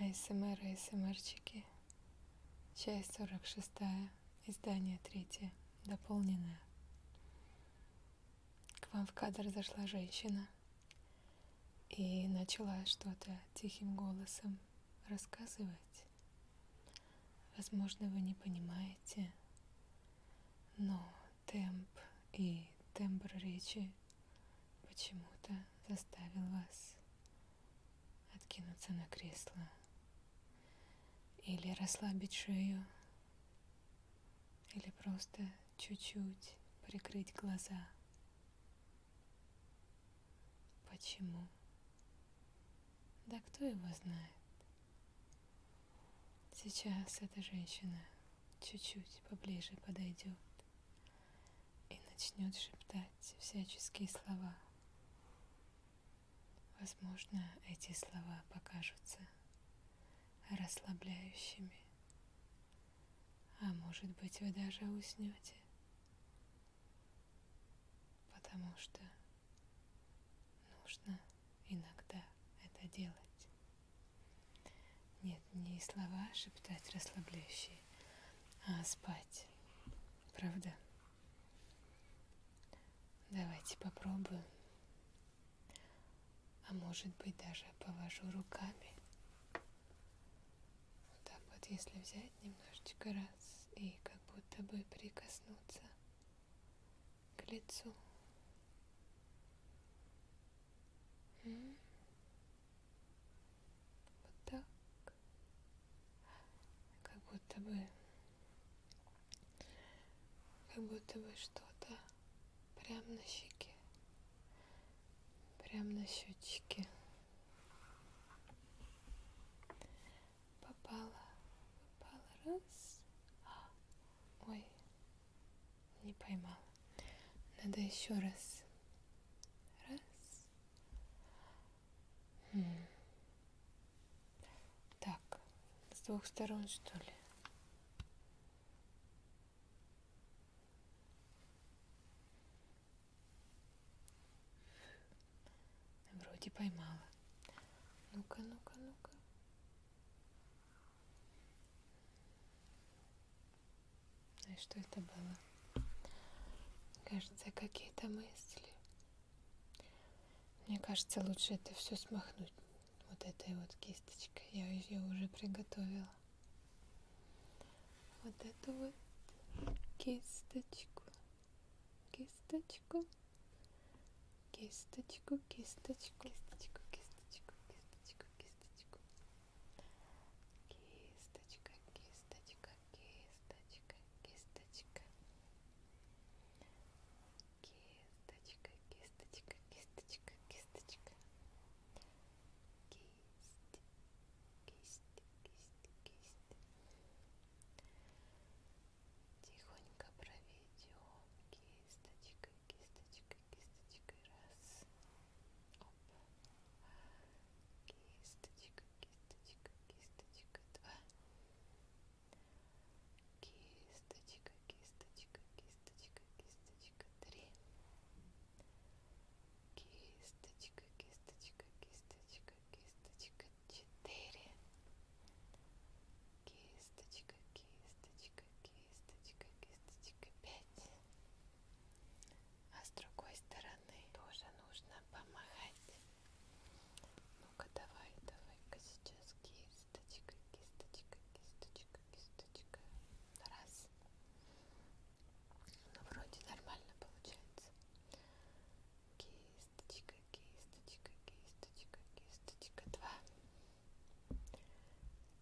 асмр асмрчики часть сорок шестая издание третье дополненное к вам в кадр зашла женщина и начала что-то тихим голосом рассказывать возможно вы не понимаете но темп и тембр речи который почему-то заставил вас откинуться на кресло или расслабить шею, или просто чуть-чуть прикрыть глаза. Почему? Да кто его знает? Сейчас эта женщина чуть-чуть поближе подойдет и начнет шептать всяческие слова. Возможно, эти слова покажутся расслабляющими, а может быть вы даже уснете, потому что нужно иногда это делать. Нет, не слова шептать расслабляющие, а спать. Правда? Давайте попробую. А может быть даже повожу руками. Вот так вот, если взять немножечко раз и как будто бы прикоснуться к лицу. М -м. Вот так. Как будто бы, как будто бы что-то прям на щеке, прям на щечке. Попала, попала, раз. Ой, не поймала. Надо еще раз. Раз. Хм. Так, с двух сторон что ли? Вроде поймала. Ну-ка, ну-ка, ну-ка. Ну и что это было? Кажется, какие-то мысли. Мне кажется, лучше это все смахнуть вот этой вот кисточкой. Я ее уже приготовила. Вот эту вот кисточку. Кисточку кисточку, кисточку, кисточку, кисточку, кисточку, кисточку. Кисточка, кисточка, кисточка, кисточка. Кисточка, кисточка, кисточка, кисточка. Кисть, кисть, кисть, кисть тихонько проведем кисточкой, кисточкой, кисточкой, раз, оп, кисточка, кисточка, кисточка, два, кисточка, кисточка, кисточка, кисточка, три, кисточка, кисточка, кисточка, кисточка, четыре. Кисточка, кисточка, кисточка, кисточка, пять. А с другой стороны тоже нужно помахать. Ну-ка, давай, давай-ка сейчас кисточка, кисточка, кисточка, кисточка. Раз. Ну, вроде нормально получается кисточка, кисточка, кисточка, кисточка, два, кисточка,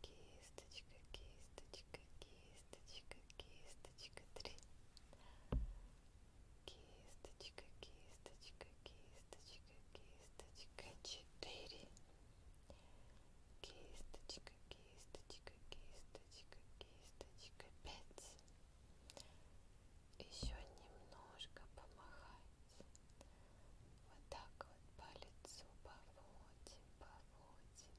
кисточка, кисточка, кисточка, три, кисточка, кисточка, кисточка, кисточка, четыре, кисточка, кисточка, кисточка, кисточка, пять. Кисточка, кисточка, кисточка, еще немножко помахать. Вот так вот по лицу поводим, поводим.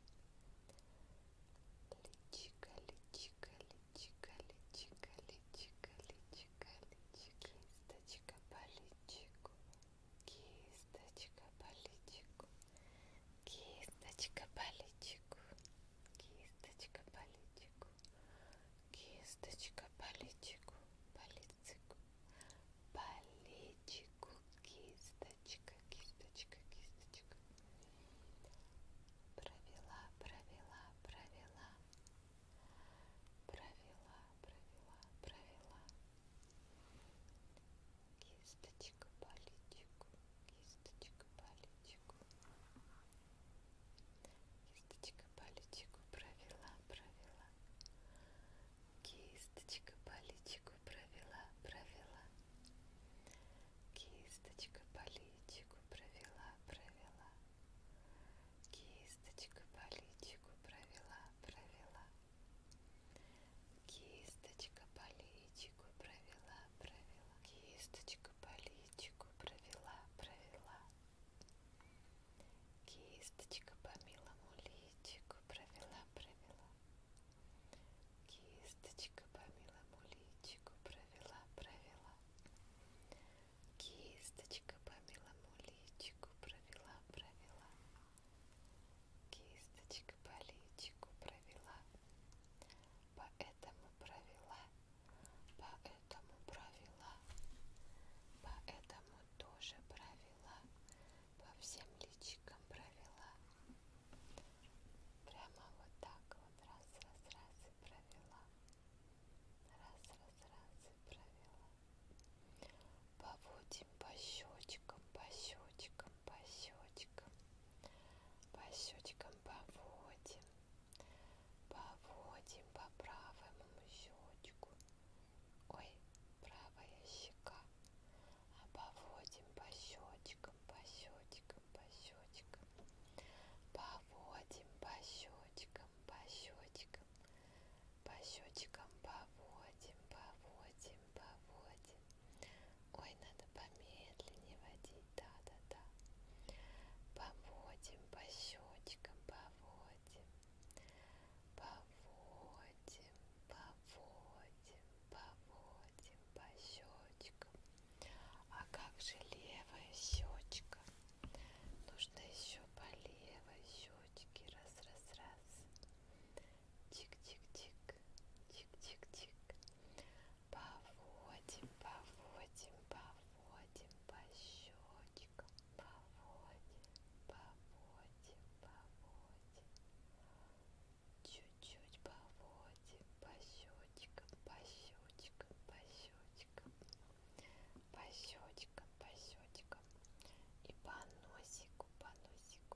Личико, личико, личико, личико, личико, личико, личико. Кисточка по личику, кисточка по личику, кисточка по личику, кисточка по личику кисточка по личику, по лицику, по личику, кисточка, кисточка, кисточка. Провела, провела, провела, провела, провела, провела. Кисточка по личику, кисточка палечку кисточка палечку провела провела кисточка палечку провела провела кисточка палечку провела провела кисточка палечку провела провела кисточка палечку провела провела кисточку по личику провела провела кисточка по милому личику провела провела кисточка по милому личику провела провела кисточка по милому личику провела провела кисточка по личику провела поэтому провела, поэтому провела, поэтому тоже провела, по всем личикам провела. Прямо вот так вот раз, раз, раз и провела. Раз, раз, раз и провела. Поводим по щечкам, по щечкам, по щечкам по щечкам поводим, поводим по правому щечку, ой, правая щека, а поводим по щечкам, по щечкам, по щечкам, поводим по щечкам, по щечкам, по щечкам поводим, поводим. Поводим, поводим. Ой, надо помедленнее водить, да-да-да. Поводим по щечкам, поводим. Поводим, поводим, поводим по щечкам. А как же левая щечка? Нужно еще по левой щечке. Раз, раз, раз. Тик-тик-тик, тик-тик-тик. Поводим, поводим, поводим по щечкам. Поводим, поводим, поводим. Чуть-чуть поводим по щечкам, по щечкам, по щечкам. По щечкам, по щечкам. И по носику, по носику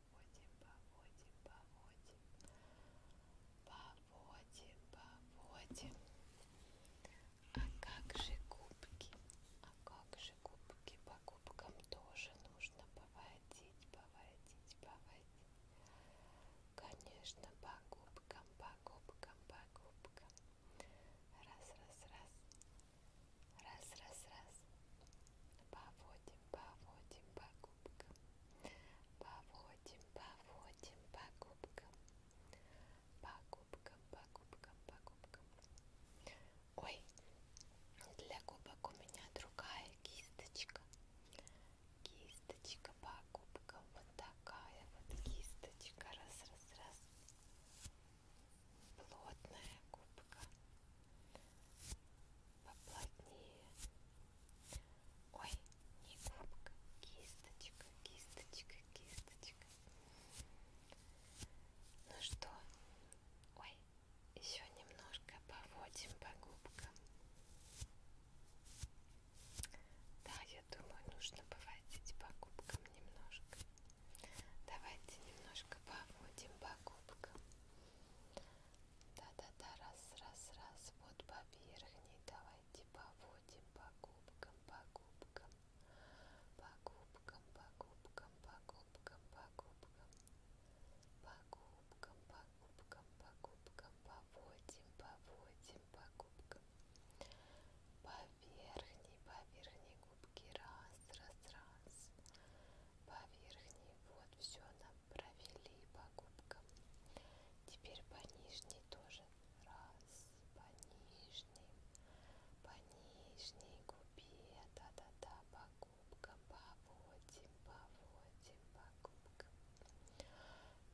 поводим, поводим, поводим, поводим, поводим. А как же губки? А как же губки? По губкам тоже нужно поводить, поводить, поводить. Конечно, по губкам, по губкам, по губкам. Раз, раз, раз. Раз, раз, раз. Поводим, поводим по губкам, поводим, поводим по губкам, по губкам, по губкам, по губкам. Ой, для губок у меня другая кисточка, кисточка по губкам, вот такая вот кисточка, раз, раз, раз, плотная губка поплотнее. Ой, не губка, кисточка, кисточка, кисточка. Ну что, ой, еще немножко поводим по губкам. Да, я думаю, нужно поводить по губкам немножко. Давайте немножко поводим по губкам. Да-да-да, раз, раз, раз. Вот по верхней. Давайте поводим по губкам, по губкам. По губкам, по губкам, по губкам, по губкам. По губкам, по губкам, по губкам. Поводим, поводим по губкам. По верхней, по верхней губке. Раз, раз, раз верхней вот все нам провели по губкам теперь по нижней тоже раз по нижней по нижней губе да да да по губкам поводим поводим по губкам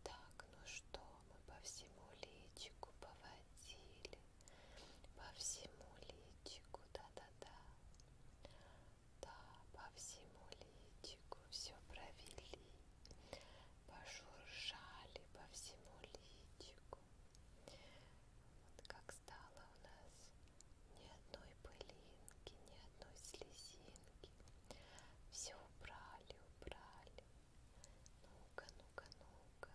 так ну что мы по всему личику поводили по всему личику, да-да-да, да, по всему личику все провели, пошуршали по всему личику. Вот как стало у нас ни одной пылинки, ни одной слезинки. Все убрали, убрали. Ну-ка, ну-ка, ну-ка.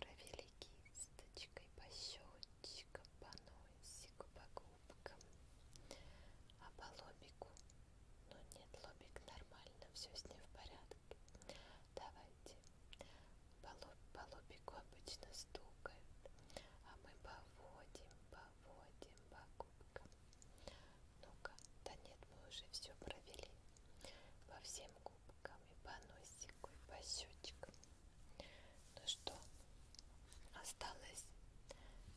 Провели кисточкой по щечкам, по носику, по губкам. А по лобику? Ну нет, лобик нормально, все с ним в порядке. Давайте. По, лоб, по лобику обычно стукают, а мы поводим, поводим по губкам. Ну-ка, да нет, мы уже все провели по всем губкам губками по носику и по щечкам. Ну что, осталось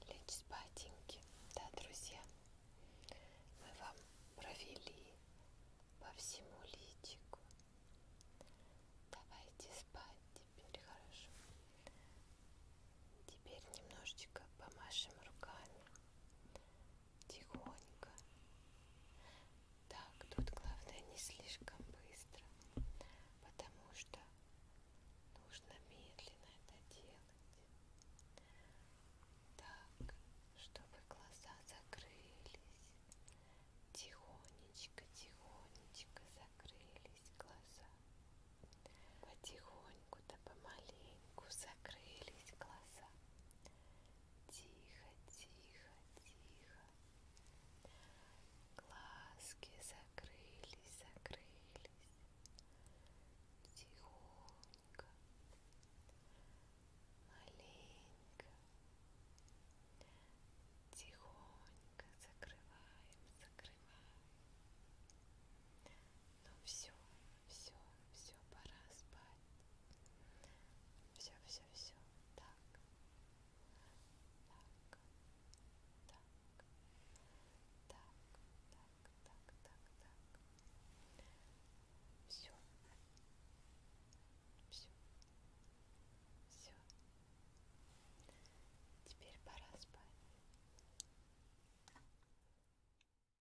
лечь спатеньки, да, друзья? Мы вам провели по всему личику. Давайте спать теперь, хорошо? Теперь немножечко помашем руками тихонько. Так, тут главное не слишком быстро, потому что нужно медленно это делать. Так, чтобы глаза закрылись. Тихонечко, тихонечко закрылись глаза. Потихоньку да помаленьку закрылись глаза тихо, тихо, тихо. Глазки закрылись, закрылись. Тихонько, маленько. Тихонько закрываем, закрываем. Ну все, все, все, пора спать. Все, все, все. Так. Так. Так. Так. Так. Так. Так. Так. Все. Все. Все. Теперь пора спать.